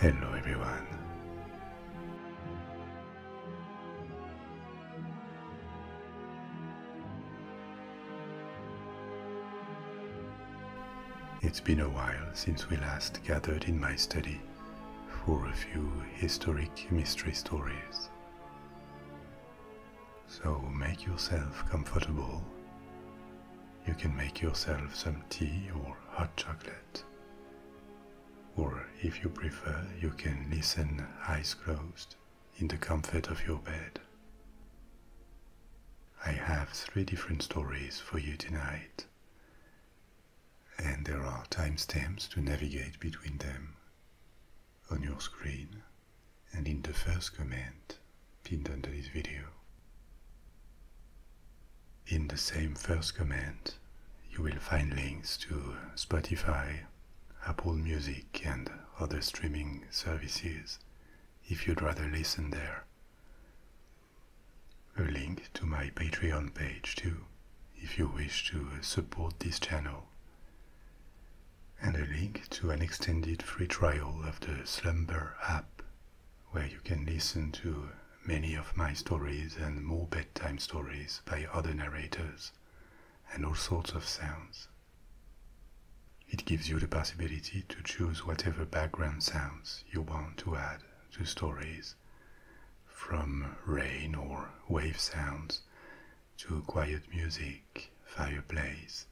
Hello everyone. It's been a while since we last gathered in my study for a few historic mystery stories. So make yourself comfortable. You can make yourself some tea or hot chocolate. Or if you prefer, you can listen eyes closed in the comfort of your bed. I have three different stories for you tonight, and there are timestamps to navigate between them on your screen and in the first comment pinned under this video. In the same first comment, you will find links to Spotify, Apple Music, and other streaming services if you'd rather listen there. A link to my Patreon page too, if you wish to support this channel. And a link to an extended free trial of the Slumber app, where you can listen to many of my stories and more bedtime stories by other narrators and all sorts of sounds. It gives you the possibility to choose whatever background sounds you want to add. To stories, from rain or wave sounds to quiet music, fireplace,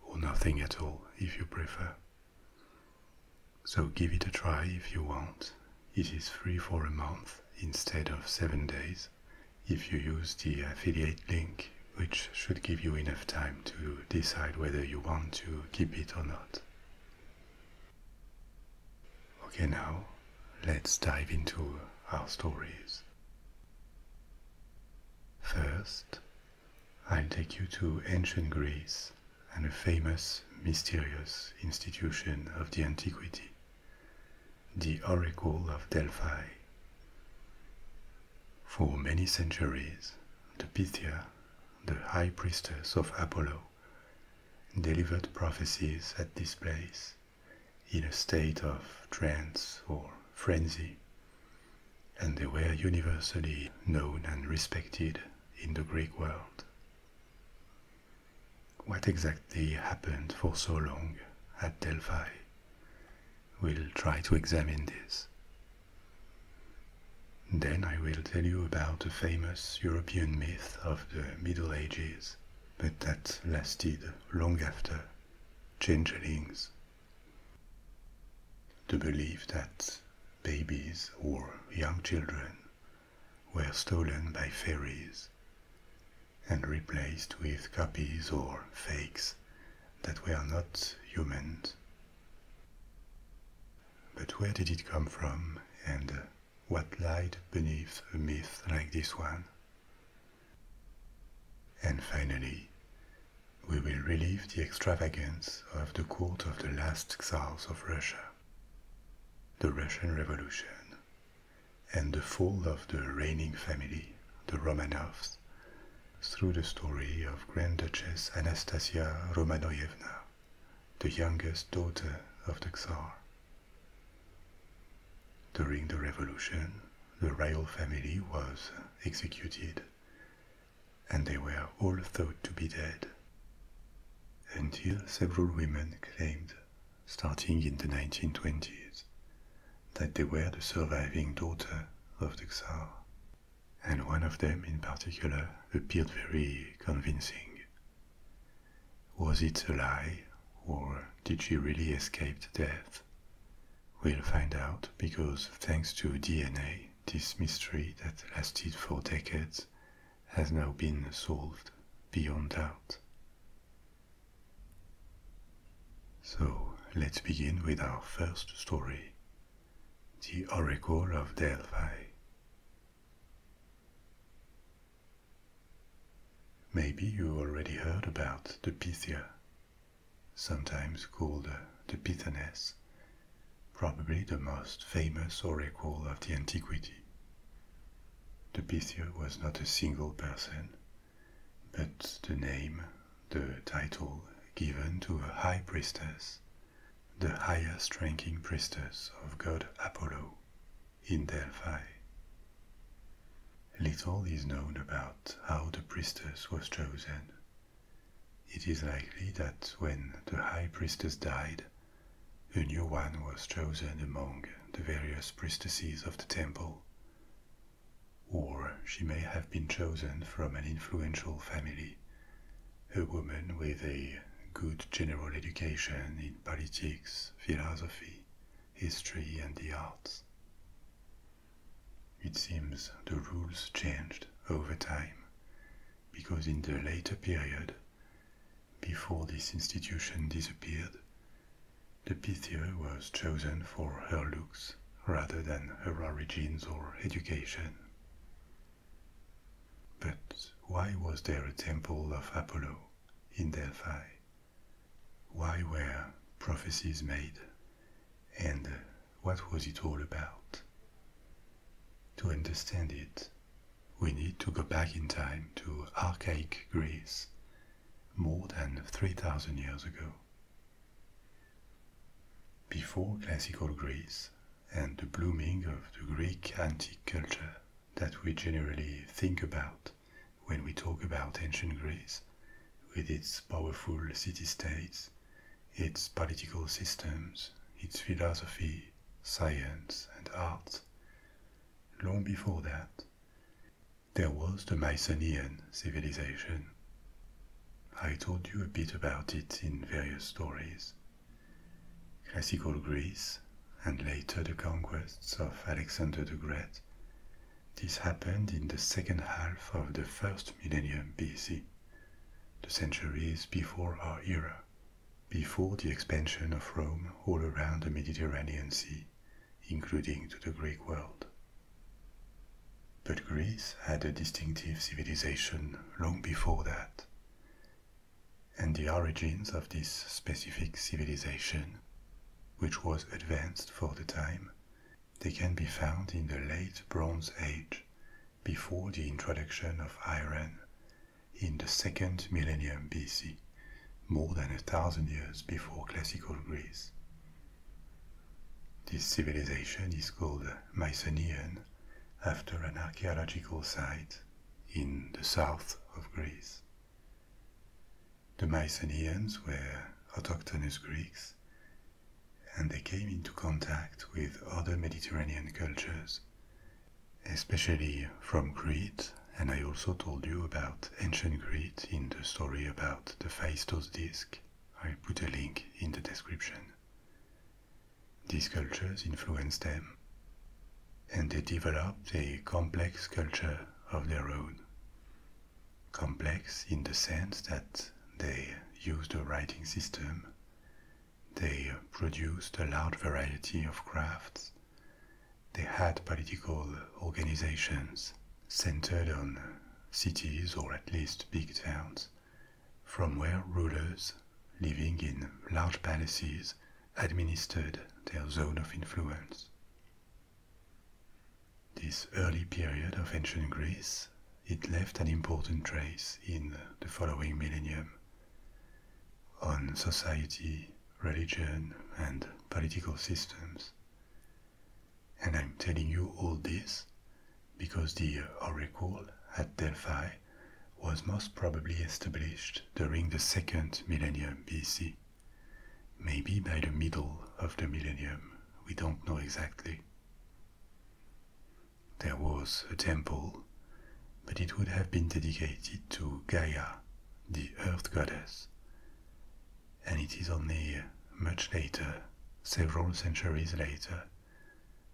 or nothing at all if you prefer. So give it a try if you want. It is free for a month instead of seven days if you use the affiliate link, which should give you enough time to decide whether you want to keep it or not. Okay, now let's dive into our stories. First, I'll take you to ancient Greece and a famous mysterious institution of the antiquity, the Oracle of Delphi. For many centuries, the Pythia, the high priestess of Apollo, delivered prophecies at this place in a state of trance or frenzy, and they were universally known and respected in the Greek world. What exactly happened for so long at Delphi? We'll try to examine this. Then I will tell you about a famous European myth of the Middle Ages, but that lasted long after changelings. To believe that babies or young children were stolen by fairies and replaced with copies or fakes that were not humans but where did it come from, and uh, what light beneath a myth like this one? And finally, we will relieve the extravagance of the court of the last czars of Russia, the Russian Revolution, and the fall of the reigning family, the Romanovs, through the story of Grand Duchess Anastasia Romanovna the youngest daughter of the Tsar. During the revolution, the royal family was executed, and they were all thought to be dead, until several women claimed, starting in the 1920s, that they were the surviving daughter of the Tsar, and one of them in particular appeared very convincing. Was it a lie, or did she really escape death? We'll find out because, thanks to DNA, this mystery that lasted for decades has now been solved beyond doubt. So let's begin with our first story The Oracle of Delphi. Maybe you already heard about the Pythia, sometimes called uh, the Pythoness, probably the most famous oracle of the antiquity. The Pythia was not a single person, but the name, the title given to a high priestess the highest ranking priestess of god Apollo in Delphi. Little is known about how the priestess was chosen. It is likely that when the high priestess died, a new one was chosen among the various priestesses of the temple, or she may have been chosen from an influential family a woman with a good general education in politics, philosophy, history, and the arts. It seems the rules changed over time because in the later period, before this institution disappeared, the Pythia was chosen for her looks rather than her origins or education. But why was there a temple of Apollo in Delphi? Why were prophecies made? And what was it all about? To understand it, we need to go back in time to archaic Greece, more than 3,000 years ago. Before classical Greece, and the blooming of the Greek antique culture that we generally think about when we talk about ancient Greece, with its powerful city states, its political systems, its philosophy, science, and art. Long before that, there was the Mycenaean civilization. I told you a bit about it in various stories. Classical Greece and later the conquests of Alexander the Great. This happened in the second half of the first millennium BC, the centuries before our era, before the expansion of Rome all around the Mediterranean Sea, including to the Greek world. But Greece had a distinctive civilization long before that and the origins of this specific civilization, which was advanced for the time, they can be found in the late Bronze Age, before the introduction of iron, in the second millennium BC, more than a thousand years before classical Greece. This civilization is called Mycenaean after an archaeological site in the south of Greece. The Mycenaeans were autochthonous Greeks, and they came into contact with other Mediterranean cultures, especially from Crete, and I also told you about ancient Crete in the story about the Phaistos disk. I'll put a link in the description. These cultures influenced them, and they developed a complex culture of their own. Complex in the sense that they used a writing system, they produced a large variety of crafts, they had political organizations centered on cities or at least big towns, from where rulers living in large palaces administered their zone of influence. This early period of ancient Greece, it left an important trace in the following millennium on society, religion, and political systems. And I'm telling you all this because the oracle at Delphi was most probably established during the second millennium BC, maybe by the middle of the millennium, we don't know exactly. There was a temple, but it would have been dedicated to Gaia, the earth goddess, and it is only much later, several centuries later,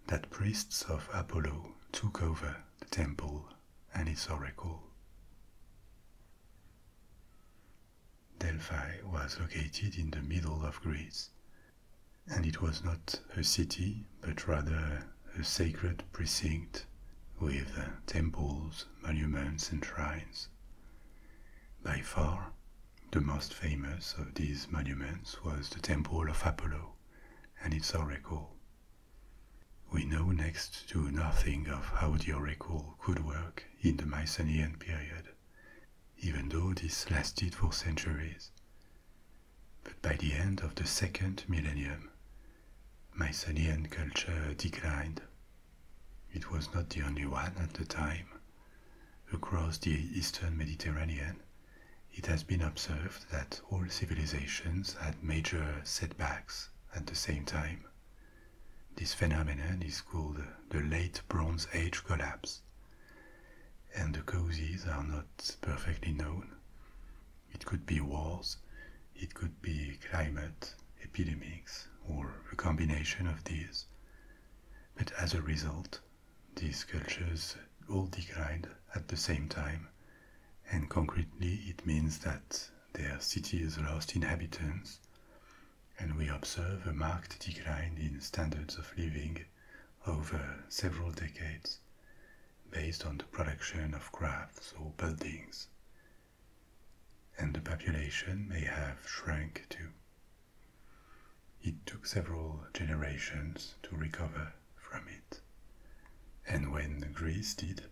that priests of Apollo took over the temple and its oracle. Delphi was located in the middle of Greece, and it was not a city, but rather a sacred precinct with temples, monuments, and shrines. By far, the most famous of these monuments was the temple of Apollo and its oracle, we know next to nothing of how the oracle could work in the Mycenaean period, even though this lasted for centuries. But by the end of the second millennium, Mycenaean culture declined. It was not the only one at the time. Across the eastern Mediterranean, it has been observed that all civilizations had major setbacks at the same time. This phenomenon is called the Late Bronze Age collapse, and the causes are not perfectly known. It could be wars, it could be climate, epidemics, or a combination of these. But as a result, these cultures all declined at the same time and concretely it means that their cities lost inhabitants, and we observe a marked decline in standards of living over several decades based on the production of crafts or buildings. And the population may have shrunk too. It took several generations to recover from it. And when Greece did,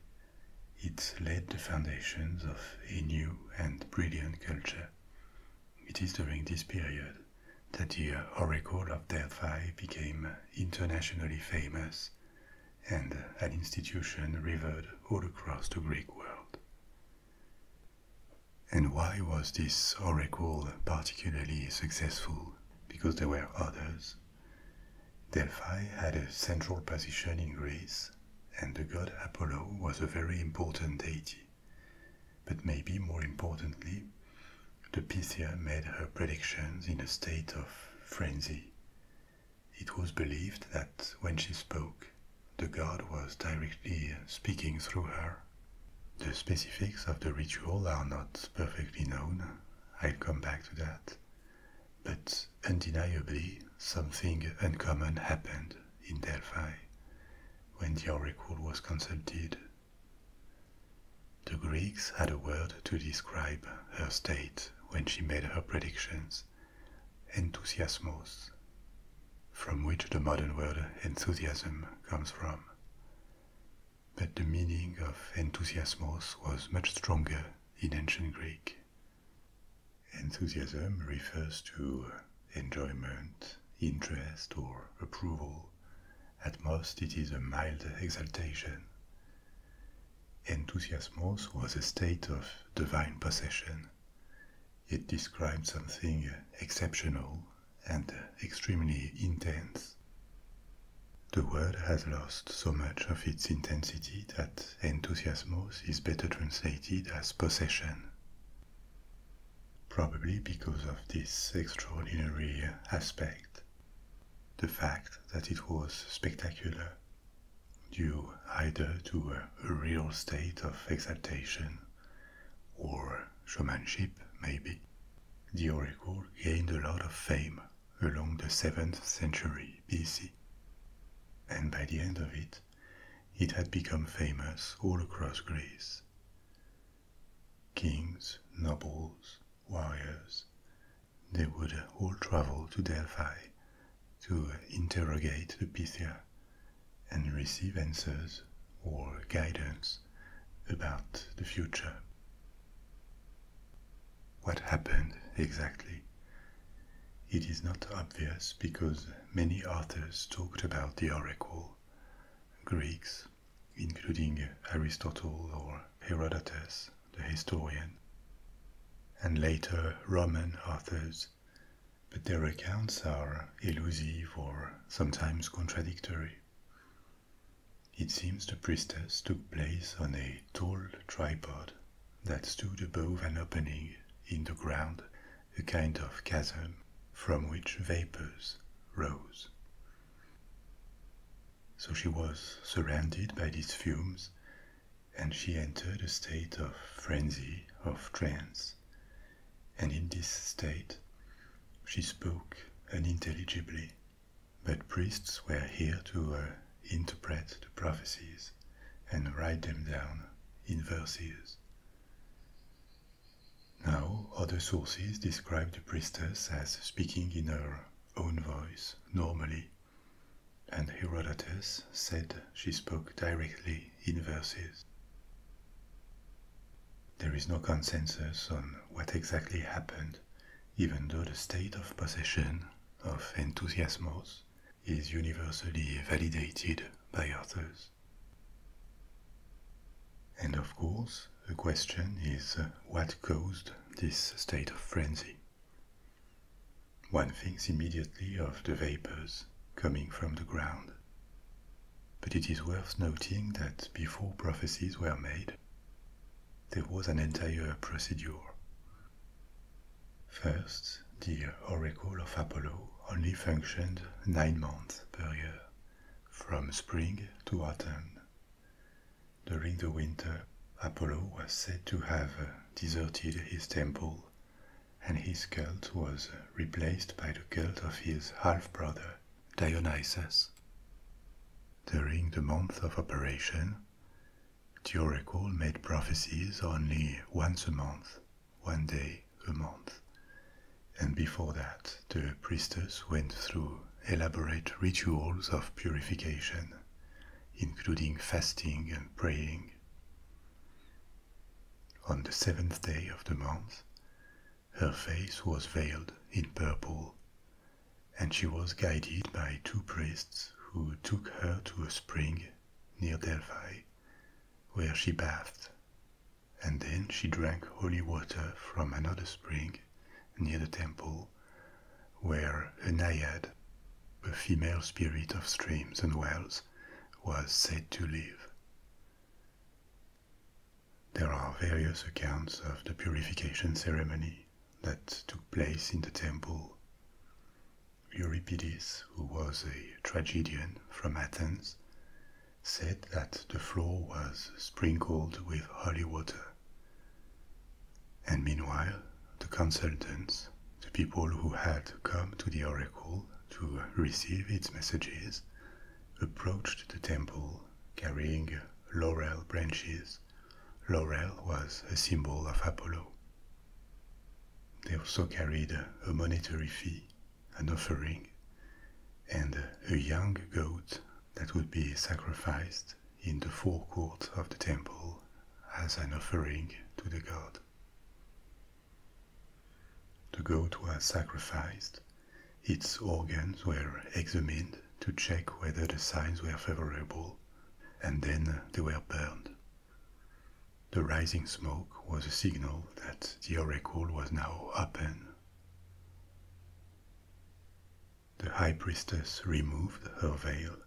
it laid the foundations of a new and brilliant culture. It is during this period that the Oracle of Delphi became internationally famous and an institution revered all across the Greek world. And why was this oracle particularly successful? Because there were others Delphi had a central position in Greece, and the god Apollo was a very important deity. But maybe more importantly, the Pythia made her predictions in a state of frenzy. It was believed that when she spoke, the god was directly speaking through her. The specifics of the ritual are not perfectly known. I'll come back to that. But undeniably, something uncommon happened in Delphi when the oracle was consulted. The Greeks had a word to describe her state when she made her predictions, enthusiasmos, from which the modern word enthusiasm comes from but the meaning of enthusiasmos was much stronger in ancient Greek. Enthusiasm refers to enjoyment, interest, or approval. At most, it is a mild exaltation. Enthusiasmos was a state of divine possession. It described something exceptional and extremely intense. The word has lost so much of its intensity that enthusiasm is better translated as possession. Probably because of this extraordinary aspect, the fact that it was spectacular, due either to a real state of exaltation or showmanship, maybe, the oracle gained a lot of fame along the 7th century BC. And by the end of it, it had become famous all across Greece. Kings, nobles, warriors, they would all travel to Delphi to interrogate the Pythia and receive answers or guidance about the future. What happened exactly? It is not obvious because many authors talked about the oracle. Greeks, including Aristotle or Herodotus, the historian, and later Roman authors, but their accounts are elusive or sometimes contradictory. It seems the priestess took place on a tall tripod that stood above an opening in the ground, a kind of chasm from which vapors rose. So she was surrounded by these fumes, and she entered a state of frenzy, of trance. And in this state, she spoke unintelligibly but priests were here to uh, interpret the prophecies and write them down in verses. Now, other sources describe the priestess as speaking in her own voice normally, and Herodotus said she spoke directly in verses. There is no consensus on what exactly happened, even though the state of possession of enthusiasmos is universally validated by authors. And of course, the question is uh, what caused this state of frenzy? One thinks immediately of the vapors coming from the ground. But it is worth noting that before prophecies were made, there was an entire procedure. First, the Oracle of Apollo only functioned nine months per year, from spring to autumn. During the winter, Apollo was said to have deserted his temple, and his cult was replaced by the cult of his half brother, Dionysus. During the month of operation, the oracle made prophecies only once a month, one day a month. And before that, the priestess went through elaborate rituals of purification, including fasting and praying. On the seventh day of the month, her face was veiled in purple and she was guided by two priests who took her to a spring near Delphi, where she bathed, and then she drank holy water from another spring near the temple, where a naiad, a female spirit of streams and wells, was said to live. There are various accounts of the purification ceremony that took place in the temple. Euripides, who was a tragedian from Athens, said that the floor was sprinkled with holy water. And meanwhile, the consultants, the people who had come to the oracle to receive its messages, approached the temple carrying laurel branches Laurel was a symbol of Apollo. They also carried a monetary fee, an offering, and a young goat that would be sacrificed in the forecourt of the temple as an offering to the god. The goat was sacrificed, its organs were examined, to check whether the signs were favorable, and then they were burned. The rising smoke was a signal that the oracle was now open. The high priestess removed her veil,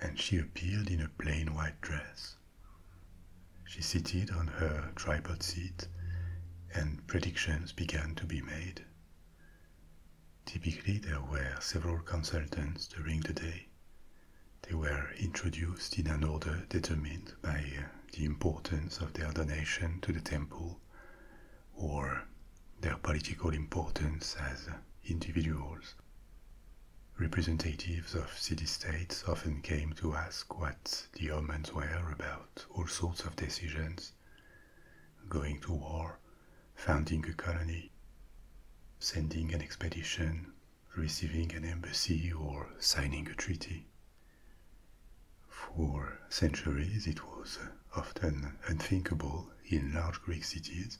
and she appeared in a plain white dress. She seated on her tripod seat, and predictions began to be made Typically, there were several consultants during the day. They were introduced in an order determined by uh, the importance of their donation to the temple or their political importance as individuals. Representatives of city-states often came to ask what the omens were about all sorts of decisions, going to war, founding a colony, sending an expedition, receiving an embassy, or signing a treaty. For centuries, it was often unthinkable in large Greek cities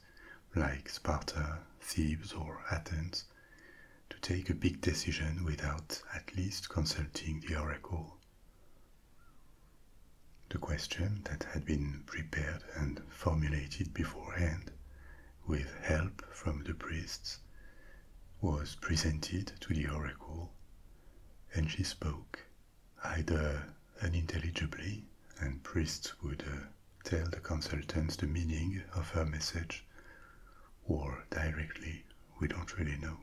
like Sparta, Thebes, or Athens to take a big decision without at least consulting the oracle. The question that had been prepared and formulated beforehand, with help from the priests, was presented to the oracle, and she spoke, either unintelligibly, and priests would uh, tell the consultants the meaning of her message, or directly, we don't really know.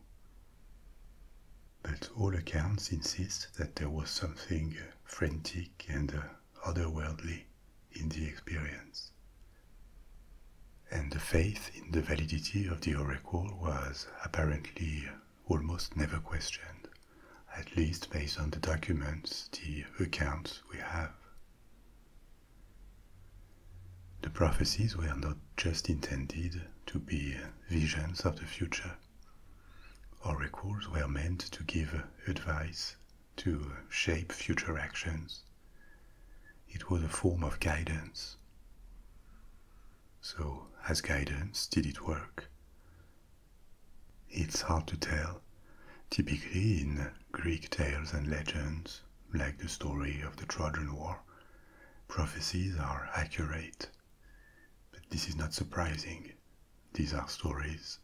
But all accounts insist that there was something Frenetic and uh, otherworldly in the experience. And the faith in the validity of the oracle was apparently almost never questioned, at least based on the documents, the accounts we have. The prophecies were not just intended to be visions of the future. Oracles were meant to give advice, to shape future actions. It was a form of guidance. So, as guidance, did it work? It's hard to tell. Typically, in Greek tales and legends, like the story of the Trojan War, prophecies are accurate. But this is not surprising. These are stories,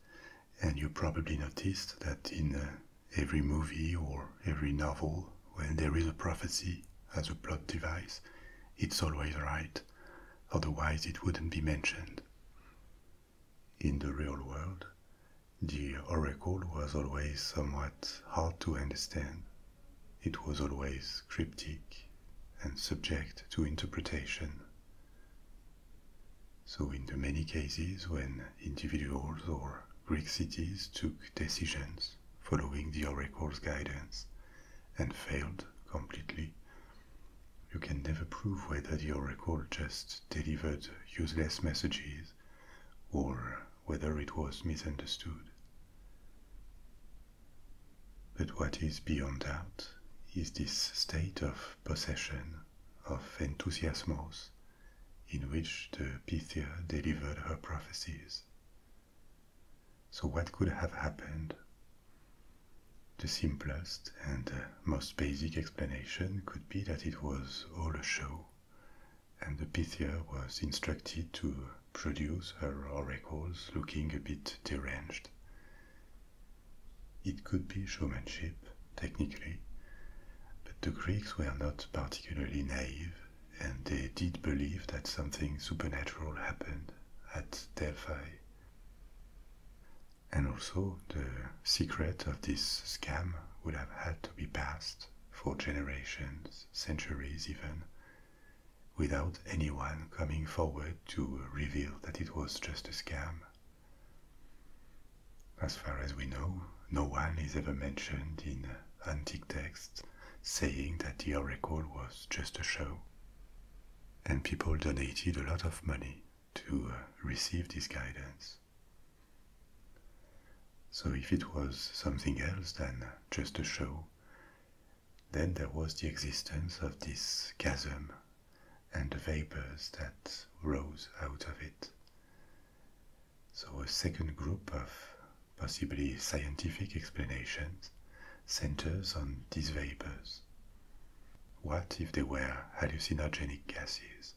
and you probably noticed that in uh, every movie or every novel, when there is a prophecy as a plot device, it's always right, otherwise, it wouldn't be mentioned. In the real world, the oracle was always somewhat hard to understand. It was always cryptic and subject to interpretation. So in the many cases when individuals or Greek cities took decisions following the oracle's guidance and failed completely, you can never prove whether the oracle just delivered useless messages or whether it was misunderstood. But what is beyond doubt is this state of possession of Enthusiasmos, in which the Pythia delivered her prophecies. So, what could have happened? The simplest and most basic explanation could be that it was all a show, and the Pythia was instructed to produce her oracles looking a bit deranged. It could be showmanship, technically, but the Greeks were not particularly naive, and they did believe that something supernatural happened at Delphi. And also, the secret of this scam would have had to be passed for generations, centuries even, without anyone coming forward to reveal that it was just a scam as far as we know, no one is ever mentioned in antique texts saying that the oracle was just a show. And people donated a lot of money to uh, receive this guidance. So, if it was something else than just a show, then there was the existence of this chasm and the vapors that rose out of it. So, a second group of possibly scientific explanations centers on these vapors. What if they were hallucinogenic gases?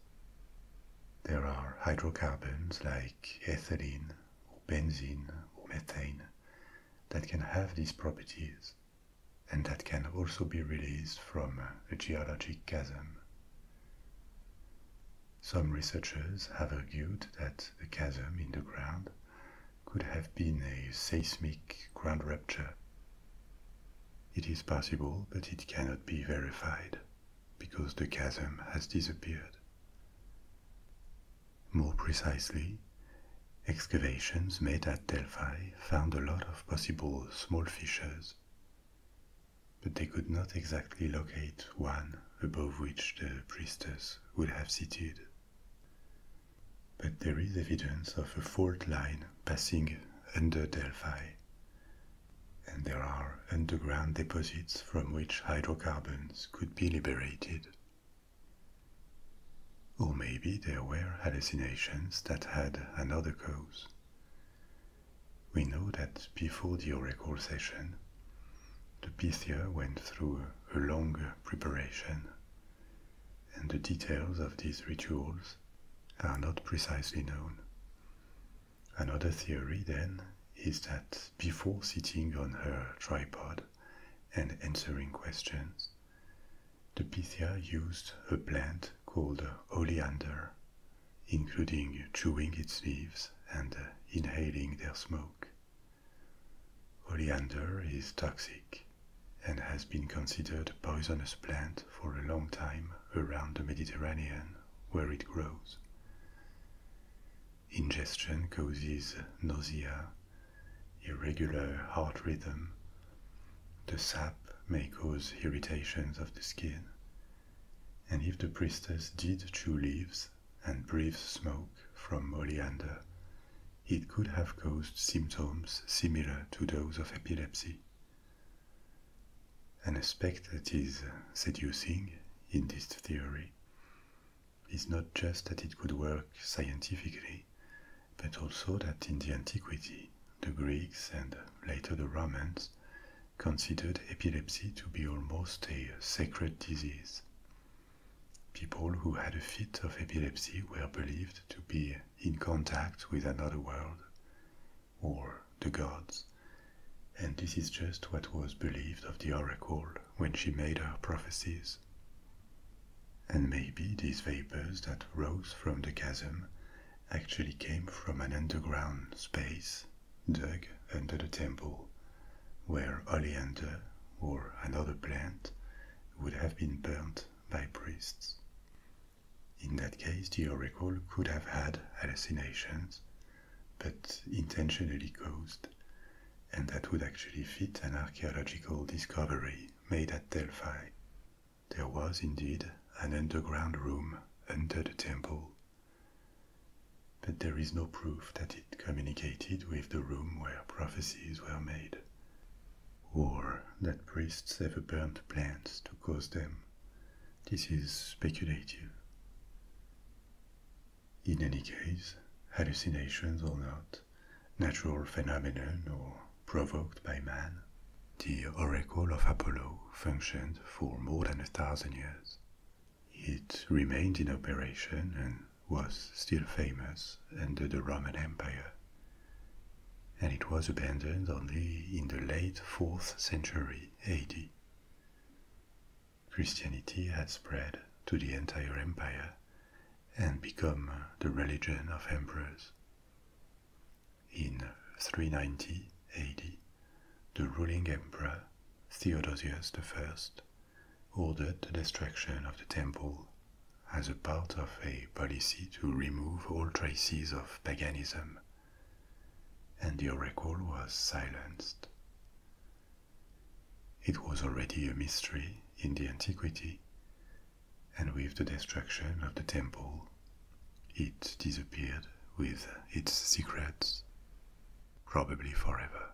There are hydrocarbons like ethylene or benzene or methane that can have these properties, and that can also be released from a uh, geologic chasm. Some researchers have argued that the chasm in the ground could have been a seismic ground rupture. It is possible, but it cannot be verified because the chasm has disappeared. More precisely, Excavations made at Delphi found a lot of possible small fissures, but they could not exactly locate one above which the priestess would have seated. But there is evidence of a fault line passing under Delphi, and there are underground deposits from which hydrocarbons could be liberated. Or maybe there were hallucinations that had another cause. We know that before the oracle session, the Pythia went through a long preparation, and the details of these rituals are not precisely known. Another theory, then, is that before sitting on her tripod and answering questions, the Pythia used a plant called oleander, including chewing its leaves and inhaling their smoke. Oleander is toxic and has been considered a poisonous plant for a long time around the Mediterranean where it grows. Ingestion causes nausea, irregular heart rhythm, the sap may cause irritations of the skin. And if the priestess did chew leaves and breathe smoke from oleander, it could have caused symptoms similar to those of epilepsy. An aspect that is seducing in this theory is not just that it could work scientifically but also that in the antiquity, the Greeks and later the Romans considered epilepsy to be almost a sacred disease. People who had a fit of epilepsy were believed to be in contact with another world or the gods, and this is just what was believed of the oracle when she made her prophecies and maybe these vapors that rose from the chasm actually came from an underground space dug under the temple, where oleander or another plant would have been burnt by priests. In that case, the oracle could have had hallucinations, but intentionally caused, and that would actually fit an archaeological discovery made at Delphi. There was indeed an underground room under the temple, but there is no proof that it communicated with the room where prophecies were made, or that priests ever burnt plants to cause them. This is speculative. In any case, hallucinations or not, natural phenomenon or provoked by man. The oracle of Apollo functioned for more than a thousand years. It remained in operation and was still famous under the Roman Empire. And it was abandoned only in the late 4th century AD. Christianity had spread to the entire empire and become the religion of emperors. In 390 AD, the ruling emperor, Theodosius I, ordered the destruction of the temple as a part of a policy to remove all traces of paganism, and the oracle was silenced. It was already a mystery in the antiquity and with the destruction of the temple, it disappeared with its secrets, probably forever.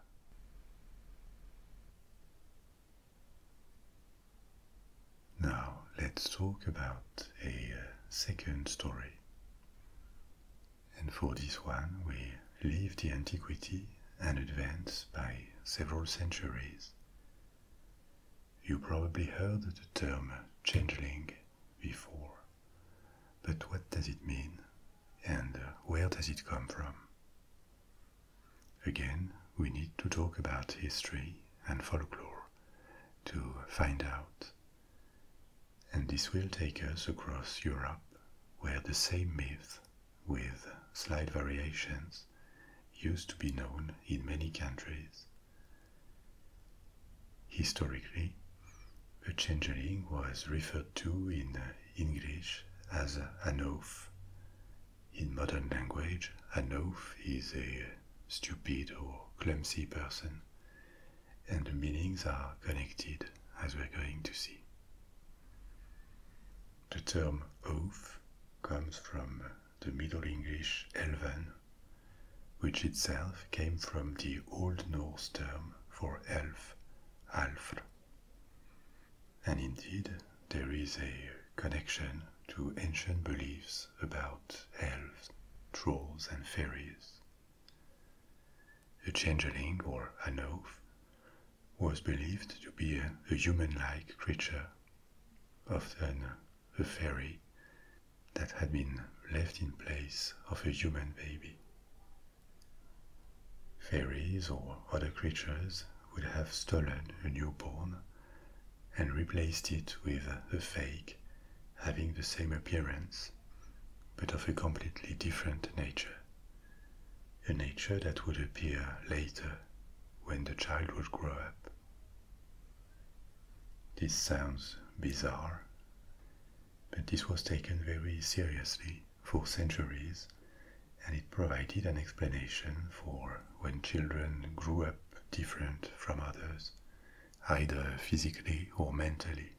Now let's talk about a uh, second story. And for this one, we leave the antiquity and advance by several centuries. You probably heard the term changeling before. But what does it mean? And uh, where does it come from? Again, we need to talk about history and folklore to find out. And this will take us across Europe, where the same myth, with slight variations, used to be known in many countries. Historically, a changeling was referred to in uh, English as an oaf. In modern language, an oaf is a uh, stupid or clumsy person, and the meanings are connected, as we're going to see. The term oaf comes from the Middle English elven, which itself came from the Old Norse term for elf, alfr. And indeed, there is a connection to ancient beliefs about elves, trolls, and fairies. A changeling or an oaf was believed to be a human like creature, often a fairy, that had been left in place of a human baby. Fairies or other creatures would have stolen a newborn and replaced it with a fake having the same appearance but of a completely different nature. A nature that would appear later when the child would grow up this sounds bizarre, but this was taken very seriously for centuries, and it provided an explanation for when children grew up different from others, either physically or mentally.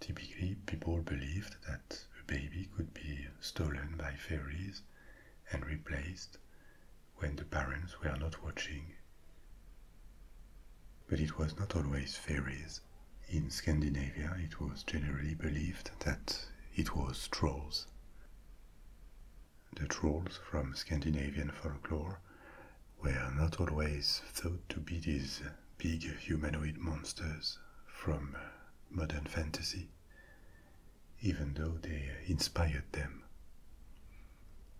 Typically, people believed that a baby could be stolen by fairies and replaced when the parents were not watching. But it was not always fairies. In Scandinavia, it was generally believed that it was trolls. The trolls from Scandinavian folklore were not always thought to be these big humanoid monsters from modern fantasy even though they inspired them.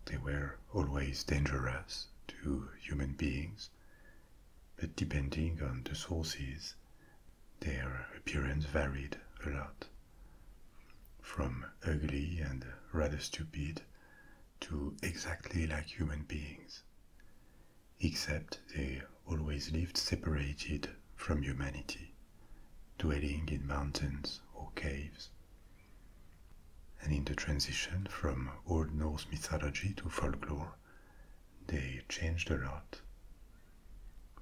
They were always dangerous to human beings, but depending on the sources, their appearance varied a lot. From ugly and rather stupid to exactly like human beings, except they always lived separated from humanity dwelling in mountains or caves. And in the transition from Old Norse mythology to folklore, they changed a lot.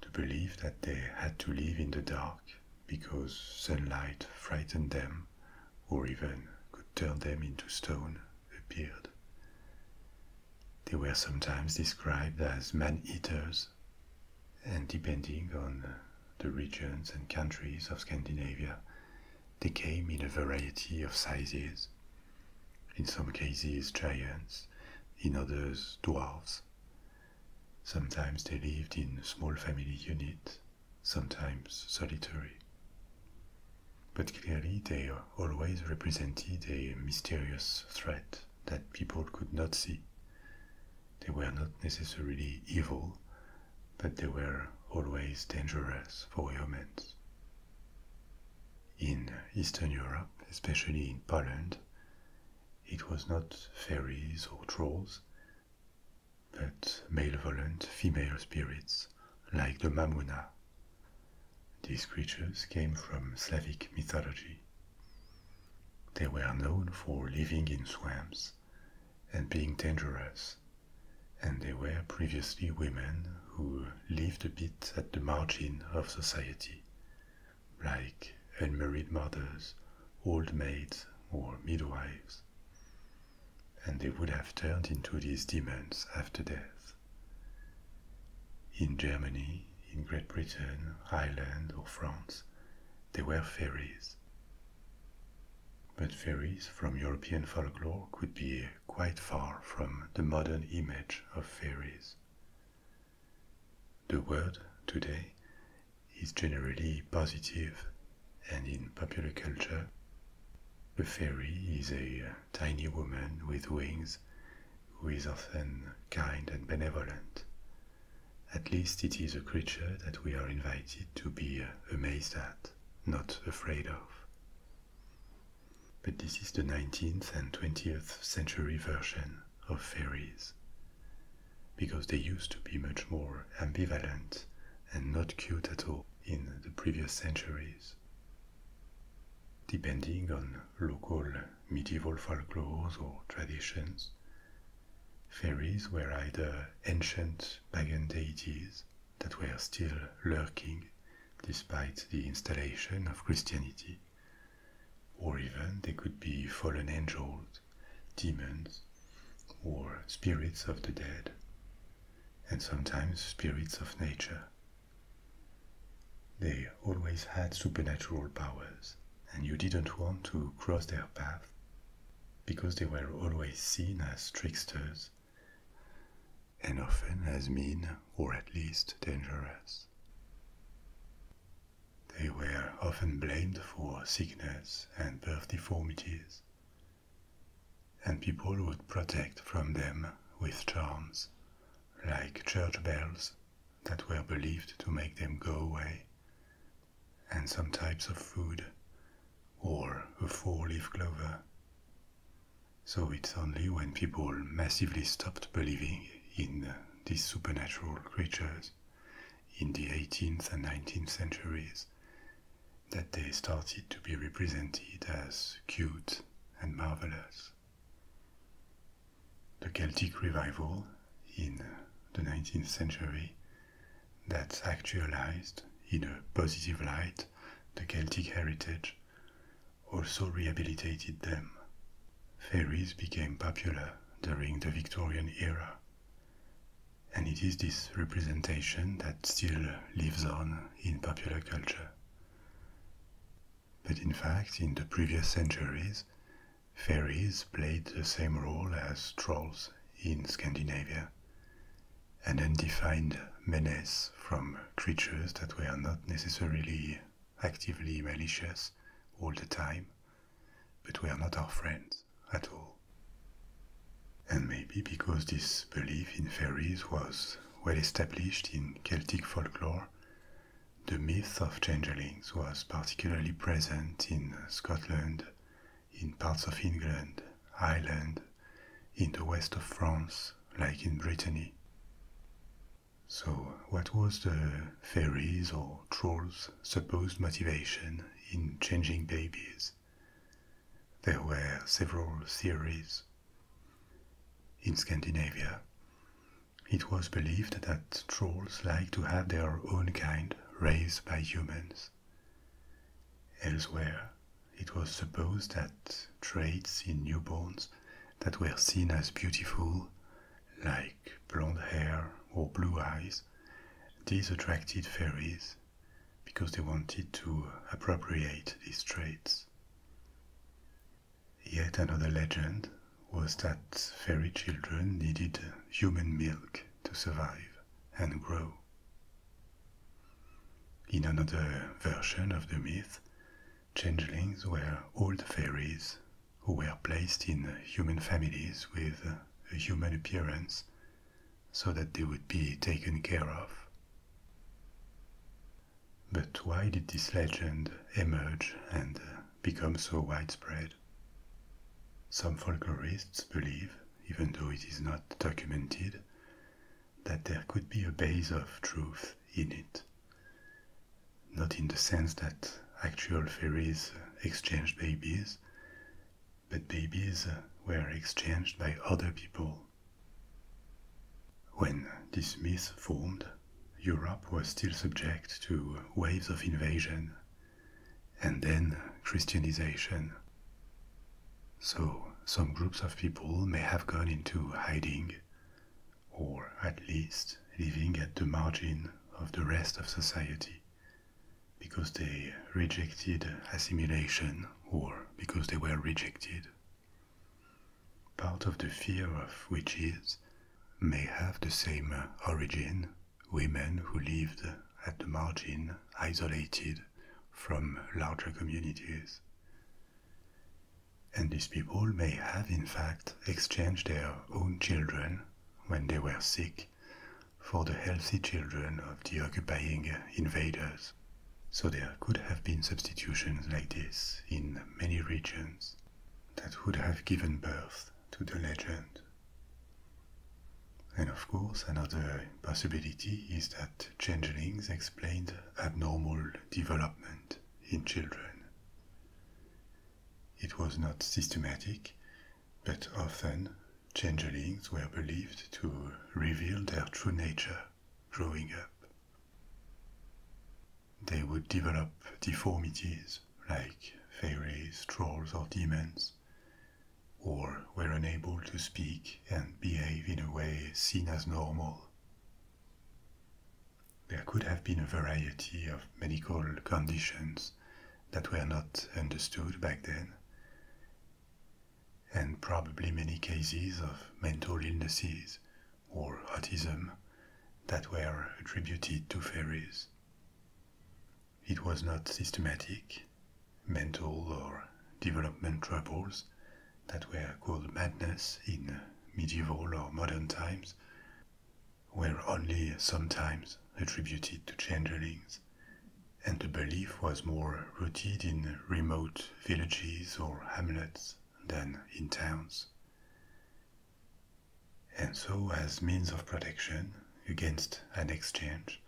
The belief that they had to live in the dark because sunlight frightened them or even could turn them into stone appeared. They were sometimes described as man eaters and depending on uh, the regions and countries of Scandinavia, they came in a variety of sizes. In some cases, giants, in others, dwarves. Sometimes they lived in small family units, sometimes solitary. But clearly, they always represented a mysterious threat that people could not see, they were not necessarily evil, but they were always dangerous for humans. In Eastern Europe, especially in Poland, it was not fairies or trolls, but malevolent female spirits like the Mamuna. These creatures came from Slavic mythology. They were known for living in swamps and being dangerous, and they were previously women who lived a bit at the margin of society, like unmarried mothers, old maids, or midwives. And they would have turned into these demons after death. In Germany, in Great Britain, Ireland, or France, they were fairies but fairies from European folklore could be quite far from the modern image of fairies. The word today is generally positive, and in popular culture, a fairy is a uh, tiny woman with wings who is often kind and benevolent, at least it is a creature that we are invited to be uh, amazed at, not afraid of. But this is the 19th and 20th century version of fairies, because they used to be much more ambivalent and not cute at all in the previous centuries. Depending on local medieval folklores or traditions, Fairies were either ancient pagan deities that were still lurking despite the installation of Christianity, or even they could be fallen angels, demons, or spirits of the dead, and sometimes spirits of nature. They always had supernatural powers, and you didn't want to cross their path because they were always seen as tricksters and often as mean or at least dangerous. They were often blamed for sickness and birth deformities, and people would protect from them with charms, like church bells that were believed to make them go away and some types of food, or a four leaf clover. So it's only when people massively stopped believing in these supernatural creatures in the 18th and 19th centuries that they started to be represented as cute and marvelous. The Celtic revival in the 19th century that actualized in a positive light the Celtic heritage, also rehabilitated them. Fairies became popular during the Victorian era, and it is this representation that still lives on in popular culture. But in fact, in the previous centuries, fairies played the same role as trolls in Scandinavia, an undefined menace from creatures that were not necessarily actively malicious all the time, but were not our friends at all. And maybe because this belief in fairies was well established in Celtic folklore, the myth of changelings was particularly present in Scotland in parts of England, Ireland, in the west of France, like in Brittany. So, what was the fairies or trolls' supposed motivation in changing babies? There were several theories. In Scandinavia, it was believed that trolls like to have their own kind raised by humans. Elsewhere, it was supposed that traits in newborns that were seen as beautiful, like blonde hair or blue eyes, these attracted fairies because they wanted to appropriate these traits. Yet another legend was that fairy children needed human milk to survive and grow. In another version of the myth, changelings were old fairies who were placed in human families with a human appearance so that they would be taken care of. But why did this legend emerge and become so widespread? Some folklorists believe, even though it is not documented, that there could be a base of truth in it. Not in the sense that actual fairies exchanged babies, but babies were exchanged by other people. When this myth formed, Europe was still subject to waves of invasion and then Christianization. So, some groups of people may have gone into hiding, or at least living at the margin of the rest of society, because they rejected assimilation or because they were rejected. Part of the fear of witches may have the same origin women who lived at the margin, isolated from larger communities. And these people may have, in fact, exchanged their own children when they were sick for the healthy children of the occupying invaders. So there could have been substitutions like this in many regions that would have given birth to the legend and of course, another possibility is that changelings explained abnormal development in children. It was not systematic, but often changelings were believed to reveal their true nature growing up. They would develop deformities like fairies, trolls, or demons, or were unable to speak and behave in a way seen as normal. There could have been a variety of medical conditions that were not understood back then, and probably many cases of mental illnesses or autism that were attributed to fairies. It was not systematic. Mental or development troubles that were called madness in medieval or modern times were only sometimes attributed to changelings, and the belief was more rooted in remote villages or hamlets than in towns. And so, as means of protection against an exchange,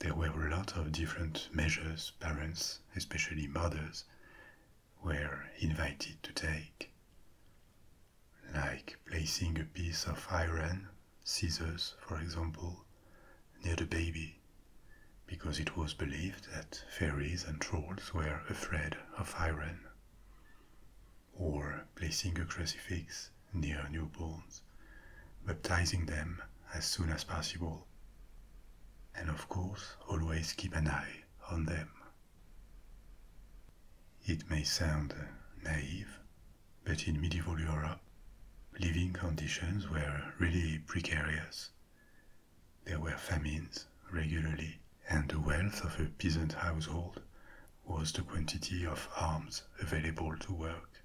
there were a lot of different measures parents, especially mothers, were invited to take, like placing a piece of iron, scissors for example, near the baby, because it was believed that fairies and trolls were afraid of iron, or placing a crucifix near newborns, baptizing them as soon as possible. And of course, always keep an eye on them. It may sound naive, but in medieval Europe, living conditions were really precarious. There were famines regularly, and the wealth of a peasant household was the quantity of arms available to work.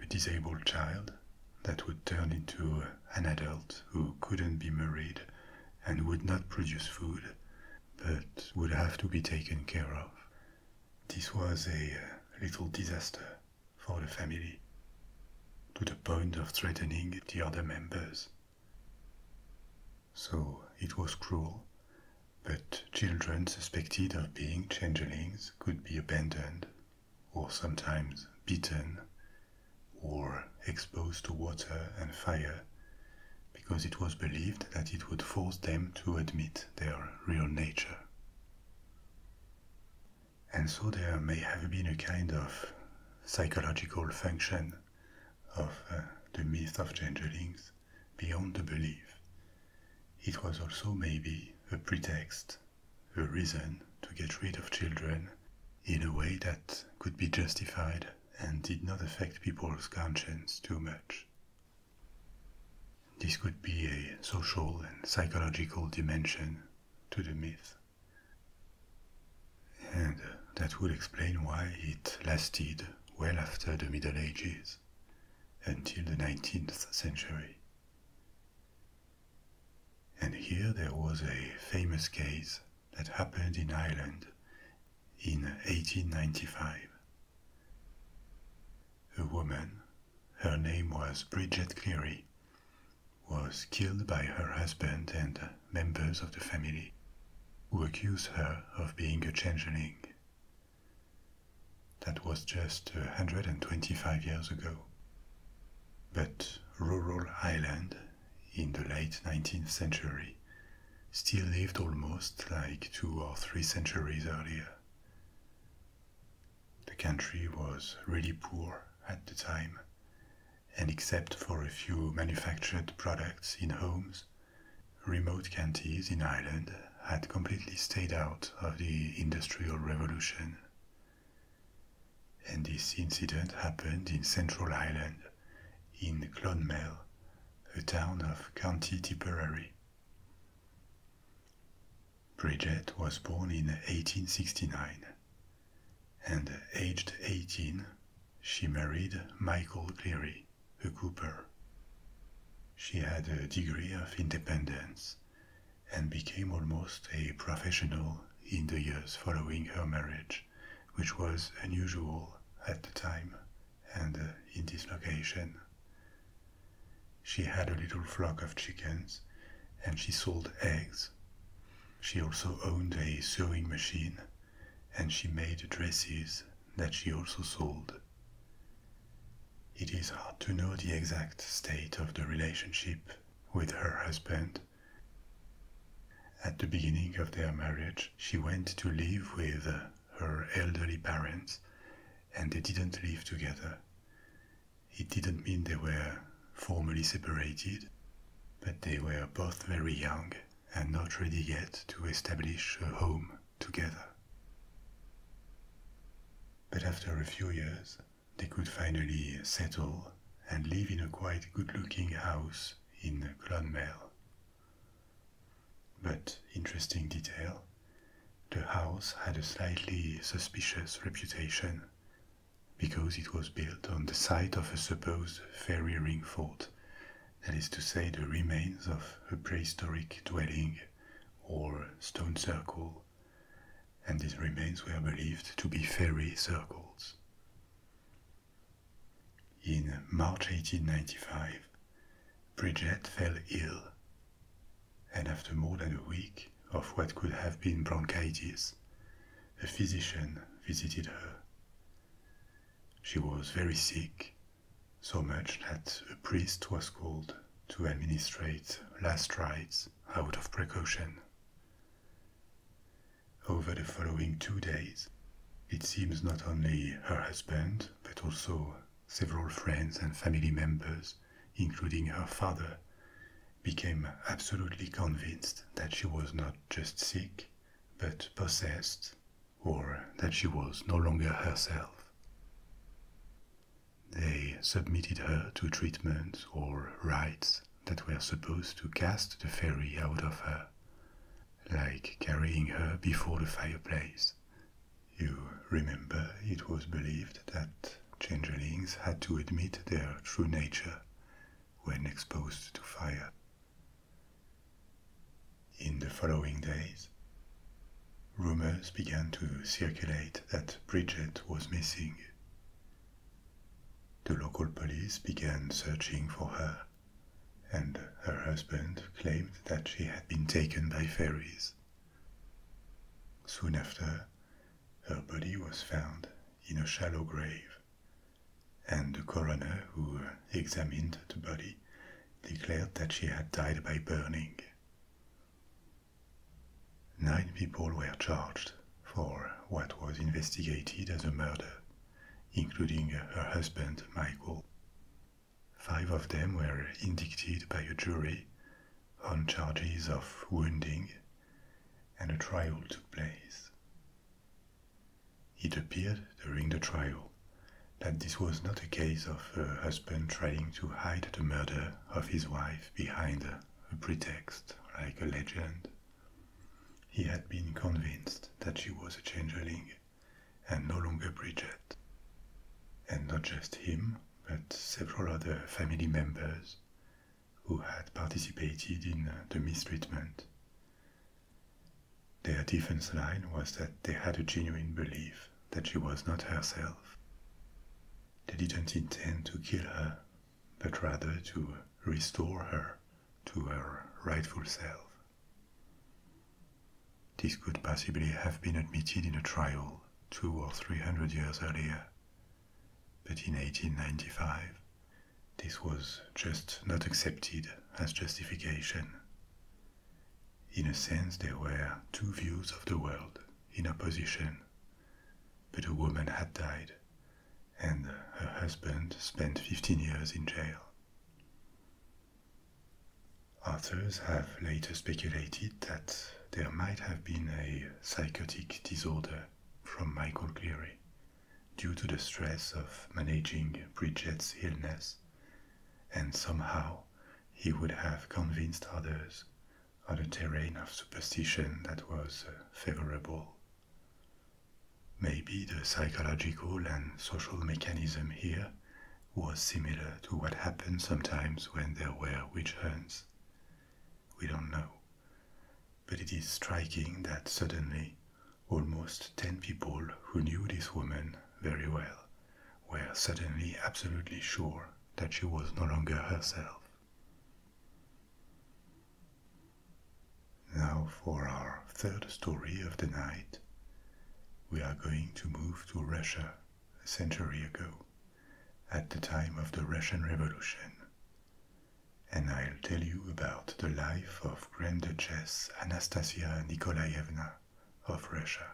A disabled child that would turn into an adult who couldn't be married and would not produce food, but would have to be taken care of. This was a uh, little disaster for the family, to the point of threatening the other members. So it was cruel but children suspected of being changelings could be abandoned, or sometimes beaten, or exposed to water and fire, because it was believed that it would force them to admit their real nature. And so there may have been a kind of psychological function of uh, the myth of changelings beyond the belief. It was also maybe a pretext, a reason to get rid of children in a way that could be justified and did not affect people's conscience too much. This could be a social and psychological dimension to the myth. And that would explain why it lasted well after the Middle Ages until the 19th century. And here there was a famous case that happened in Ireland in 1895. A woman, her name was Bridget Cleary, was killed by her husband and members of the family, who accused her of being a changeling. That was just 125 uh, years ago. But rural Ireland in the late 19th century still lived almost like two or three centuries earlier. The country was really poor at the time, and except for a few manufactured products in homes, Remote counties in Ireland had completely stayed out of the Industrial Revolution. And this incident happened in Central Ireland, in Clonmel, a town of County Tipperary. Bridget was born in 1869, and aged 18, she married Michael Cleary a cooper. She had a degree of independence and became almost a professional in the years following her marriage, which was unusual at the time and uh, in this location. She had a little flock of chickens and she sold eggs. She also owned a sewing machine and she made dresses that she also sold. It is hard to know the exact state of the relationship with her husband. At the beginning of their marriage, she went to live with her elderly parents and they didn't live together. It didn't mean they were formally separated, but they were both very young and not ready yet to establish a home together. But after a few years, they could finally settle and live in a quite good looking house in Clonmel. But, interesting detail, the house had a slightly suspicious reputation because it was built on the site of a supposed fairy ring fort, that is to say, the remains of a prehistoric dwelling or stone circle, and these remains were believed to be fairy circles. In March 1895, Bridget fell ill, and after more than a week of what could have been bronchitis, a physician visited her. She was very sick so much that a priest was called to administer last rites out of precaution. Over the following two days, it seems not only her husband, but also several friends and family members, including her father, became absolutely convinced that she was not just sick, but possessed, or that she was no longer herself. They submitted her to treatment or rites that were supposed to cast the fairy out of her, like carrying her before the fireplace. You remember it was believed that changelings had to admit their true nature when exposed to fire. In the following days, rumors began to circulate that Bridget was missing. The local police began searching for her, and her husband claimed that she had been taken by fairies. Soon after, her body was found in a shallow grave, and the coroner who examined the body declared that she had died by burning. Nine people were charged for what was investigated as a murder, including her husband Michael. Five of them were indicted by a jury on charges of wounding, and a trial took place. It appeared during the trial that this was not a case of a husband trying to hide the murder of his wife behind a pretext like a legend. He had been convinced that she was a changeling and no longer Bridget. And not just him, but several other family members who had participated in uh, the mistreatment. Their defense line was that they had a genuine belief that she was not herself. They didn't intend to kill her, but rather to restore her to her rightful self. This could possibly have been admitted in a trial two or three hundred years earlier, but in 1895 this was just not accepted as justification. In a sense, there were two views of the world in opposition. But a woman had died, and her husband spent 15 years in jail. Authors have later speculated that there might have been a psychotic disorder from Michael Cleary due to the stress of managing Bridget's illness, and somehow he would have convinced others on a terrain of superstition that was uh, favorable. Maybe the psychological and social mechanism here was similar to what happened sometimes when there were witch hunts. We don't know. But it is striking that suddenly almost 10 people who knew this woman very well we're suddenly absolutely sure that she was no longer herself. Now, for our third story of the night, we are going to move to Russia a century ago, at the time of the Russian Revolution. And I'll tell you about the life of Grand Duchess Anastasia Nikolaevna of Russia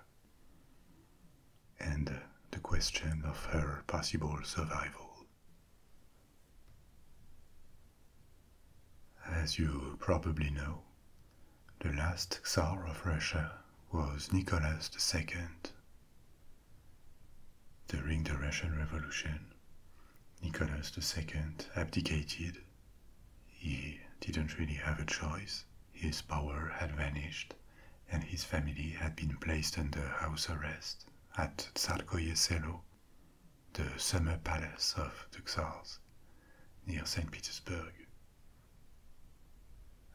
and uh, the question of her possible survival. As you probably know, the last Tsar of Russia was Nicholas II. During the Russian Revolution, Nicholas II abdicated. He didn't really have a choice, his power had vanished, and his family had been placed under house arrest at Tsarskoye Selo, the summer palace of the Tsars, near St. Petersburg.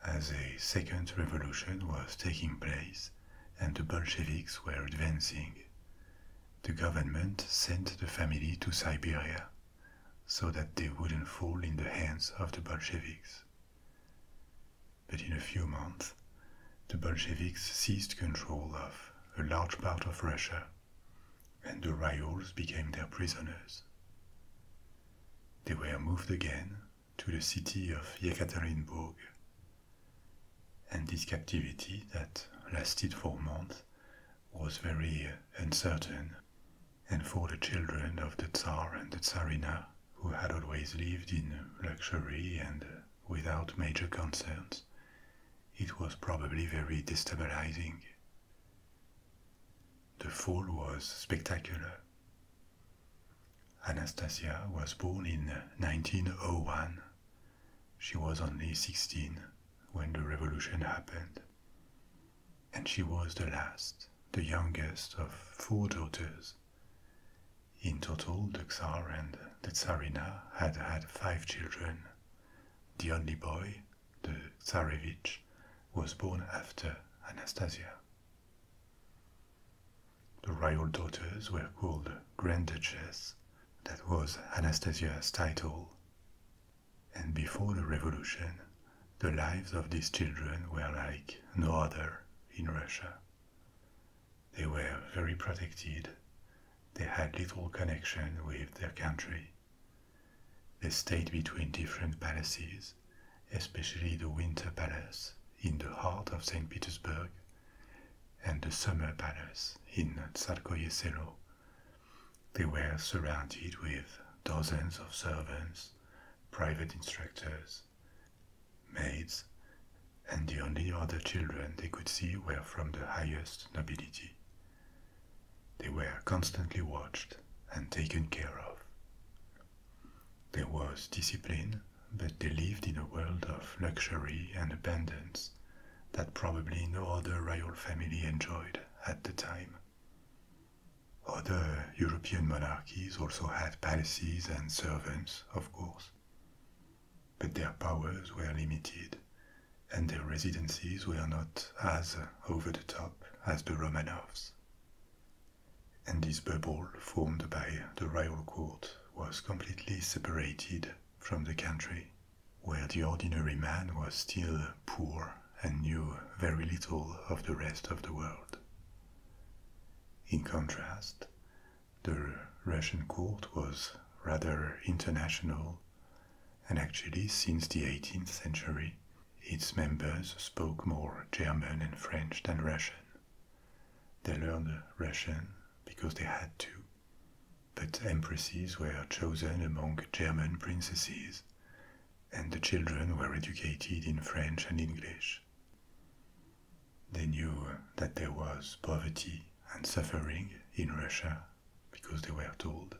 As a second revolution was taking place and the Bolsheviks were advancing, the government sent the family to Siberia so that they wouldn't fall in the hands of the Bolsheviks. But in a few months, the Bolsheviks seized control of a large part of Russia, and the Ryals became their prisoners. They were moved again to the city of Yekaterinburg, and this captivity that lasted for months was very uncertain and for the children of the Tsar and the Tsarina, who had always lived in luxury and without major concerns, it was probably very destabilizing. The fall was spectacular. Anastasia was born in 1901. She was only 16 when the revolution happened and she was the last, the youngest of four daughters. In total, the Tsar and the Tsarina had had five children. The only boy, the Tsarevich, was born after Anastasia. The royal daughters were called Grand Duchess, that was Anastasia's title. And before the revolution, the lives of these children were like no other in Russia. They were very protected, they had little connection with their country. They stayed between different palaces, especially the Winter Palace in the heart of St. Petersburg and the Summer Palace in Tsarskoye They were surrounded with dozens of servants private instructors, maids, and the only other children they could see were from the highest nobility. They were constantly watched and taken care of. There was discipline, but they lived in a world of luxury and abundance that probably no other royal family enjoyed at the time. Other European monarchies also had palaces and servants, of course, but their powers were limited and their residencies were not as over the top as the Romanovs. And this bubble formed by the royal court was completely separated from the country, where the ordinary man was still poor and knew very little of the rest of the world. In contrast, the Russian court was rather international, and actually, since the 18th century, its members spoke more German and French than Russian. They learned Russian because they had to, but empresses were chosen among German princesses and the children were educated in French and English. They knew that there was poverty and suffering in Russia because they were told,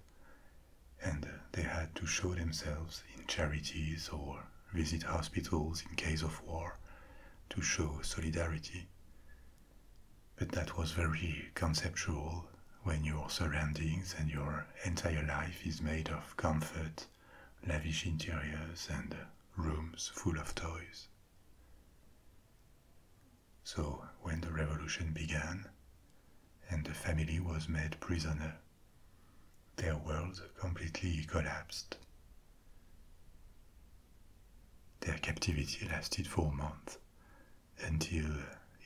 and they had to show themselves in charities or visit hospitals in case of war to show solidarity. But that was very conceptual when your surroundings and your entire life is made of comfort lavish interiors, and rooms full of toys. So, when the revolution began and the family was made prisoner, their world completely collapsed. Their captivity lasted for months until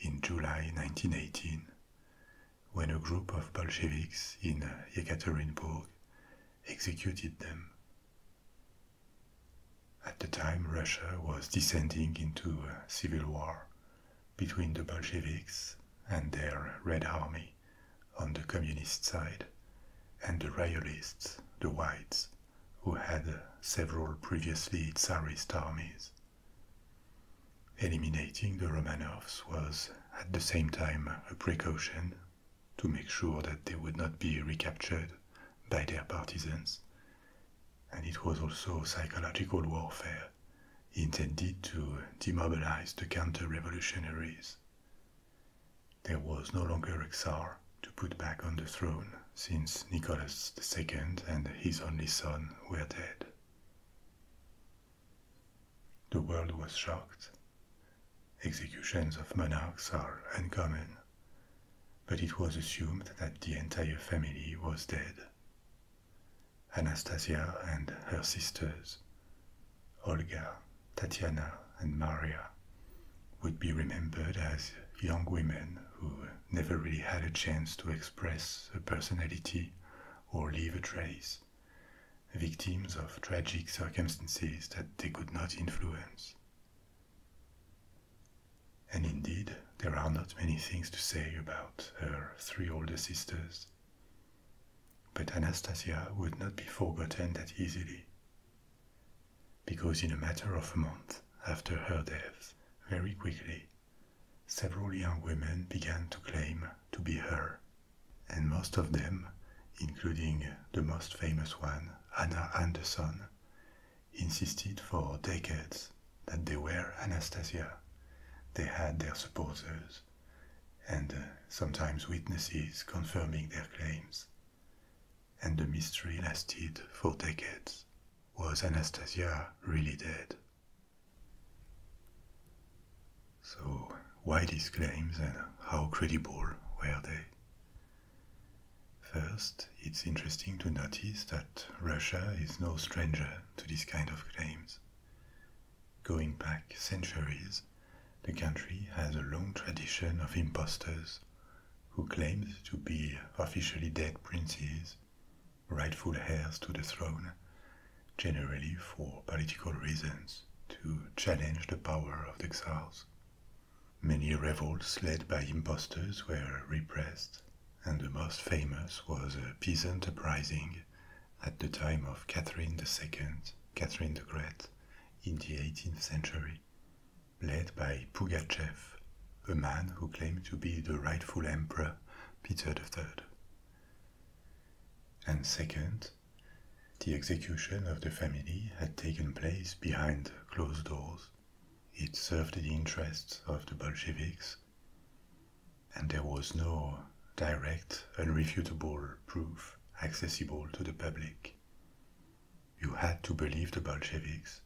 in July 1918 when a group of Bolsheviks in Yekaterinburg executed them. At the time, Russia was descending into a civil war between the Bolsheviks and their Red Army on the communist side and the royalists, the whites, who had several previously Tsarist armies. Eliminating the Romanovs was at the same time a precaution to make sure that they would not be recaptured by their partisans, and it was also psychological warfare intended to demobilize the counter revolutionaries. There was no longer a Tsar to put back on the throne since Nicholas II and his only son were dead. The world was shocked. Executions of monarchs are uncommon, but it was assumed that the entire family was dead. Anastasia and her sisters, Olga, Tatiana, and Maria, would be remembered as young women who never really had a chance to express a personality or leave a trace victims of tragic circumstances that they could not influence. And indeed, there are not many things to say about her three older sisters. But Anastasia would not be forgotten that easily, because in a matter of a month after her death, very quickly, several young women began to claim to be her and most of them, including the most famous one, Anna Anderson, insisted for decades that they were Anastasia. They had their supporters and uh, sometimes witnesses confirming their claims. And the mystery lasted for decades. Was Anastasia really dead? So, why these claims and how credible were they? First, it's interesting to notice that Russia is no stranger to this kind of claims. Going back centuries, the country has a long tradition of impostors who claimed to be officially dead princes, rightful heirs to the throne, generally for political reasons, to challenge the power of the Czars. Many revolts led by impostors were repressed, and the most famous was a peasant uprising at the time of Catherine the Second, Catherine the Great, in the 18th century, led by Pugachev, a man who claimed to be the rightful emperor Peter the Third. And second, the execution of the family had taken place behind closed doors. It served the interests of the Bolsheviks, and there was no direct, unrefutable proof accessible to the public. You had to believe the Bolsheviks,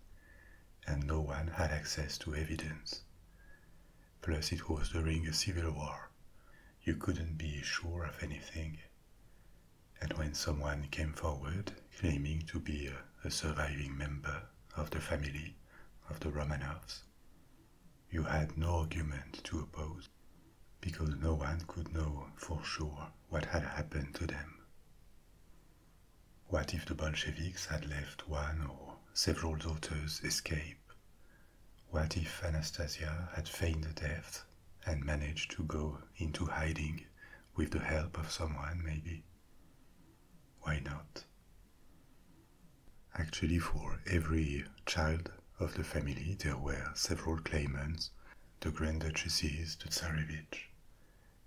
and no one had access to evidence. Plus, it was during a civil war, you couldn't be sure of anything. And when someone came forward claiming to be a, surviving member of the family of the Romanovs, you had no argument to oppose because no one could know for sure what had happened to them. What if the Bolsheviks had left one or several daughters escape what if Anastasia had feigned a death and managed to go into hiding with the help of someone, maybe? Why not? Actually, for every child of the family, there were several claimants the Grand Duchesses, the Tsarevich.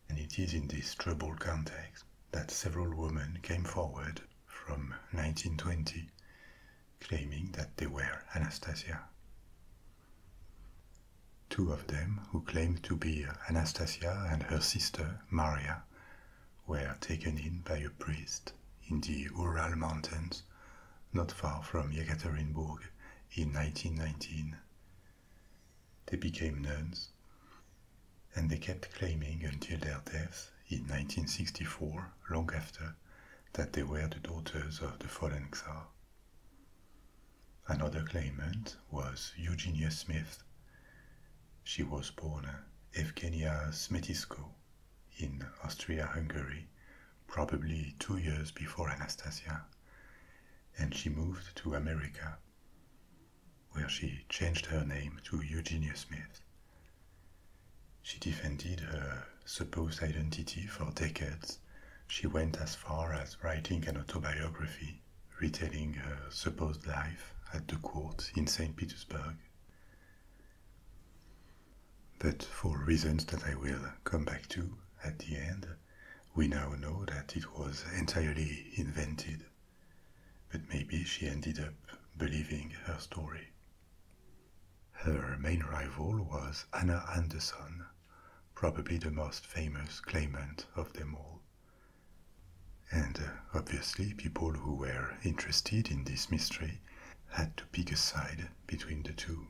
And it is in this troubled context that several women came forward from 1920 claiming that they were Anastasia. Two of them, who claimed to be Anastasia and her sister Maria, were taken in by a priest in the Ural Mountains, not far from Yekaterinburg, in 1919. They became nuns, and they kept claiming until their death in 1964, long after that they were the daughters of the fallen Czar. Another claimant was Eugenia Smith. She was born Evgenia Smetisko in Austria-Hungary, probably two years before Anastasia, and she moved to America, where she changed her name to Eugenia Smith she defended her supposed identity for decades. She went as far as writing an autobiography, retelling her supposed life at the court in St. Petersburg. But for reasons that I will come back to at the end, we now know that it was entirely invented. But maybe she ended up believing her story. Her main rival was Anna Anderson, probably the most famous claimant of them all. And uh, obviously, people who were interested in this mystery had to pick a side between the two.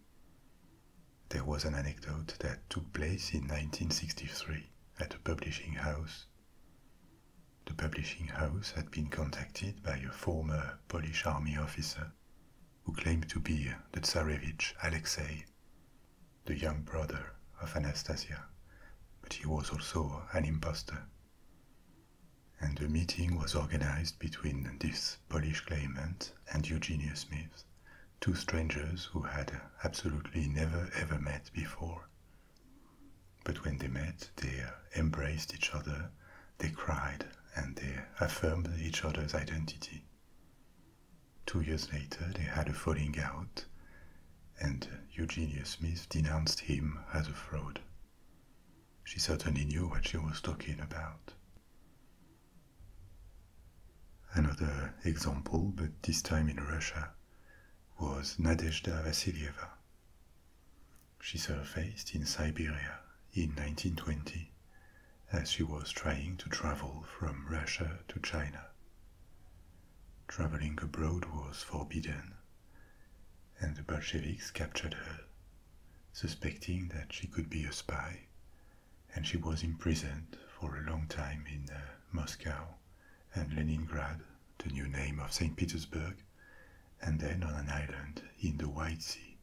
There was an anecdote that took place in 1963 at a publishing house. The publishing house had been contacted by a former Polish army officer who claimed to be the Tsarevich Alexei, the young brother of Anastasia, but he was also an impostor. And a meeting was organized between this Polish claimant and Eugenia Smith, two strangers who had absolutely never ever met before. But when they met, they embraced each other they cried and they affirmed each other's identity. Two years later, they had a falling out, and Eugenia Smith denounced him as a fraud. She certainly knew what she was talking about. Another example, but this time in Russia, was Nadezhda Vasilieva. She surfaced in Siberia in 1920 as she was trying to travel from Russia to China. Traveling abroad was forbidden, and the Bolsheviks captured her, suspecting that she could be a spy, and she was imprisoned for a long time in uh, Moscow and Leningrad, the new name of St. Petersburg, and then on an island in the White Sea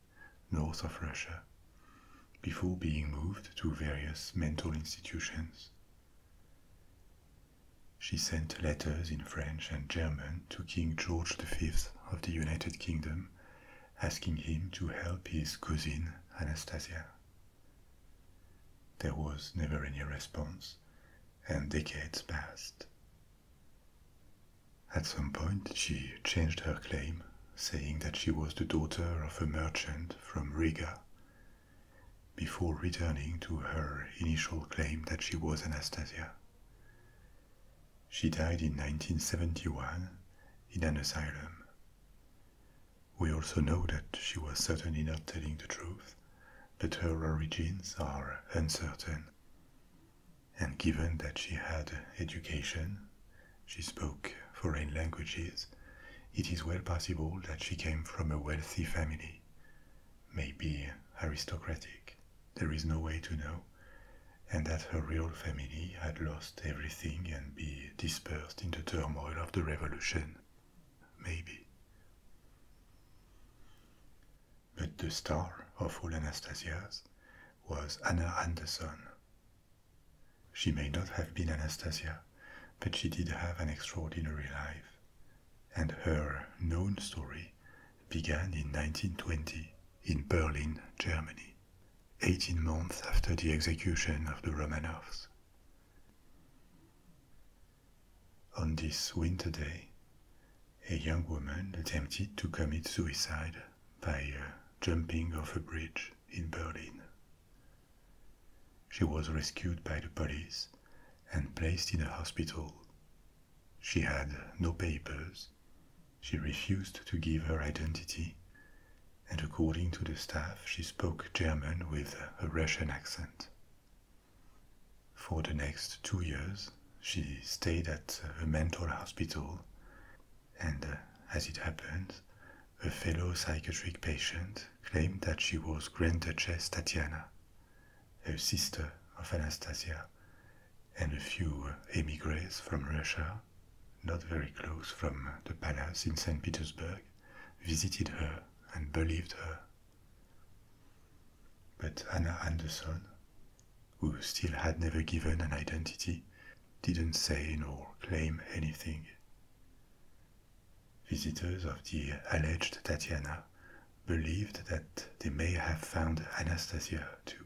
north of Russia, before being moved to various mental institutions. She sent letters in French and German to King George V of the United Kingdom, asking him to help his cousin Anastasia. There was never any response, and decades passed at some point, she changed her claim, saying that she was the daughter of a merchant from Riga, before returning to her initial claim that she was Anastasia. She died in 1971 in an asylum. We also know that she was certainly not telling the truth, but her origins are uncertain and given that she had education, she spoke foreign languages, it is well possible that she came from a wealthy family, maybe aristocratic, there is no way to know, and that her real family had lost everything and be dispersed in the turmoil of the revolution. Maybe. But the star of all Anastasias was Anna Anderson. She may not have been Anastasia, but she did have an extraordinary life, and her known story began in 1920 in Berlin, Germany, 18 months after the execution of the Romanovs. On this winter day, a young woman attempted to commit suicide by uh, jumping off a bridge in Berlin. She was rescued by the police and placed in a hospital. She had no papers, she refused to give her identity, and according to the staff, she spoke German with a Russian accent. For the next two years, she stayed at a mental hospital and uh, as it happened, a fellow psychiatric patient claimed that she was Grand Duchess Tatiana, a sister of Anastasia, and a few emigres from Russia, not very close from the palace in St. Petersburg, visited her and believed her. But Anna Anderson, who still had never given an identity, didn't say nor claim anything. Visitors of the alleged Tatiana believed that they may have found Anastasia too,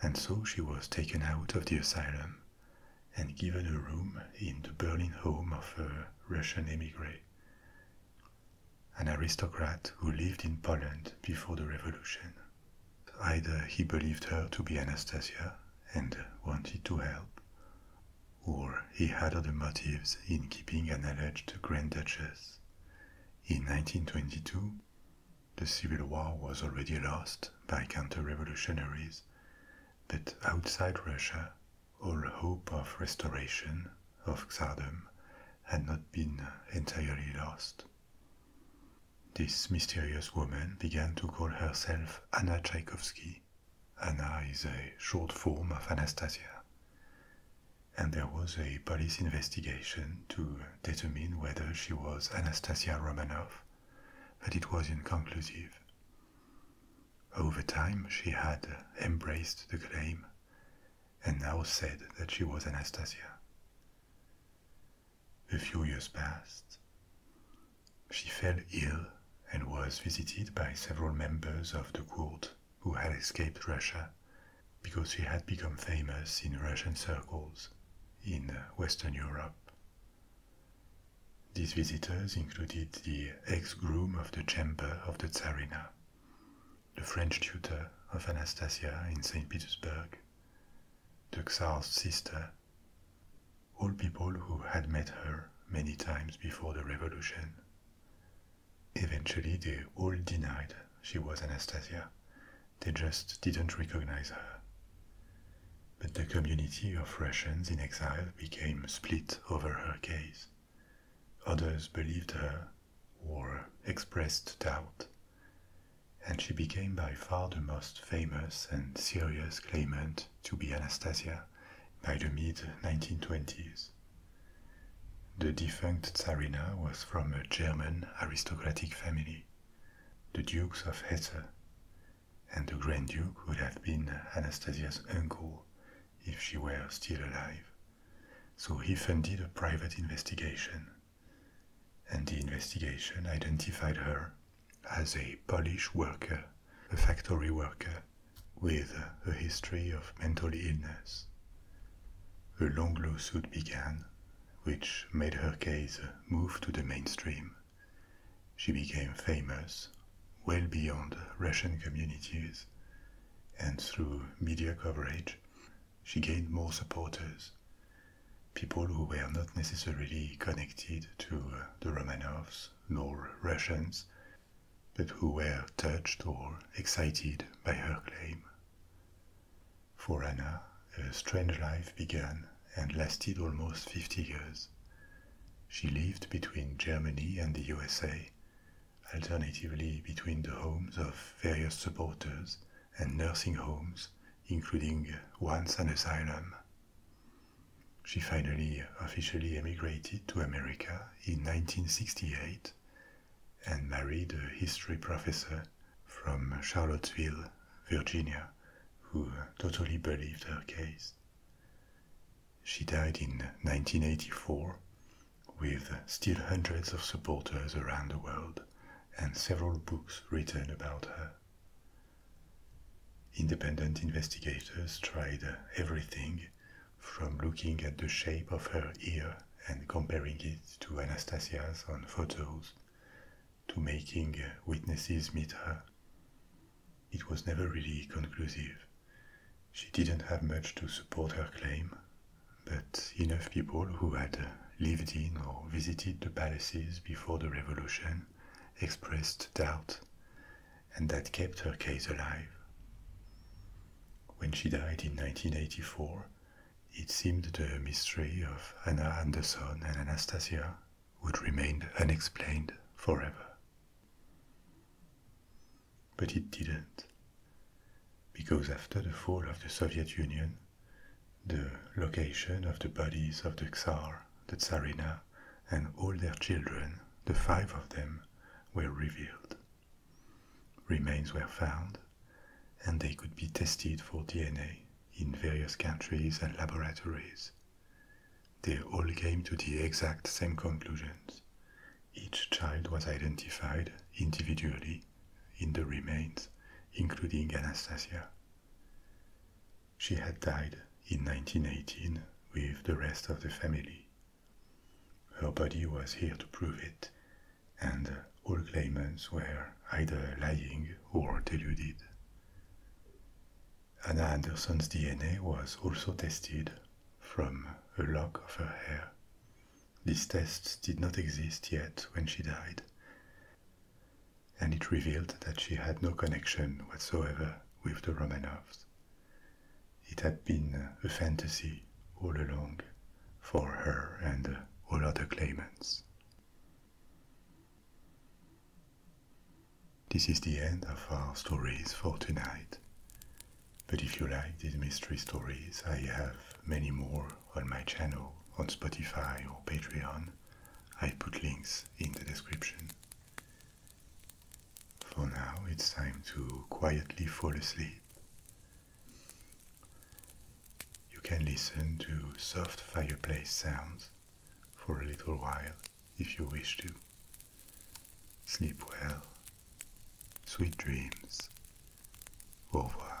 and so she was taken out of the asylum and given a room in the Berlin home of a Russian emigre, an aristocrat who lived in Poland before the revolution. Either he believed her to be Anastasia and wanted to help, or he had other motives in keeping an alleged Grand Duchess. In 1922, the Civil War was already lost by counter-revolutionaries, but outside Russia, all hope of restoration of Tsardom had not been entirely lost. This mysterious woman began to call herself Anna Tchaikovsky. Anna is a short form of Anastasia. And there was a police investigation to determine whether she was Anastasia Romanov, but it was inconclusive. Over time, she had embraced the claim and now said that she was Anastasia. A few years passed. She fell ill and was visited by several members of the court who had escaped Russia because she had become famous in Russian circles in uh, Western Europe. These visitors included the ex-groom of the chamber of the Tsarina, the French tutor of Anastasia in St. Petersburg, the Czar's sister, all people who had met her many times before the revolution. Eventually, they all denied she was Anastasia. They just didn't recognize her. But the community of Russians in exile became split over her case. Others believed her or expressed doubt and she became by far the most famous and serious claimant to be Anastasia by the mid 1920s. The defunct Tsarina was from a German aristocratic family, the Dukes of Hesse, and the Grand Duke would have been Anastasia's uncle if she were still alive. So he funded a private investigation and the investigation identified her as a Polish worker, a factory worker, with a history of mental illness. A long lawsuit began, which made her case move to the mainstream. She became famous well beyond Russian communities, and through media coverage, she gained more supporters, people who were not necessarily connected to uh, the Romanovs nor Russians, but who were touched or excited by her claim. For Anna, a strange life began and lasted almost 50 years. She lived between Germany and the USA, alternatively between the homes of various supporters and nursing homes, including once an asylum. She finally officially emigrated to America in 1968 and married a history professor from Charlottesville, Virginia, who totally believed her case. She died in 1984 with still hundreds of supporters around the world and several books written about her. Independent investigators tried everything from looking at the shape of her ear and comparing it to Anastasia's on photos to making witnesses meet her. It was never really conclusive. She didn't have much to support her claim, but enough people who had lived in or visited the palaces before the revolution expressed doubt, and that kept her case alive. When she died in 1984, it seemed the mystery of Anna Anderson and Anastasia would remain unexplained forever. But it didn't, because after the fall of the Soviet Union, the location of the bodies of the Tsar, the Tsarina, and all their children, the five of them, were revealed. Remains were found, and they could be tested for DNA in various countries and laboratories. They all came to the exact same conclusions. Each child was identified individually in the remains, including Anastasia, she had died in 1918 with the rest of the family. Her body was here to prove it, and all claimants were either lying or deluded. Anna Anderson's DNA was also tested from a lock of her hair. These tests did not exist yet when she died and it revealed that she had no connection whatsoever with the Romanovs. It had been a fantasy all along for her and uh, all other claimants. This is the end of our stories for tonight. But if you like these mystery stories, I have many more on my channel on Spotify or Patreon, I put links in the description. For now, it's time to quietly fall asleep. You can listen to soft fireplace sounds for a little while if you wish to. Sleep well. Sweet dreams. Au revoir.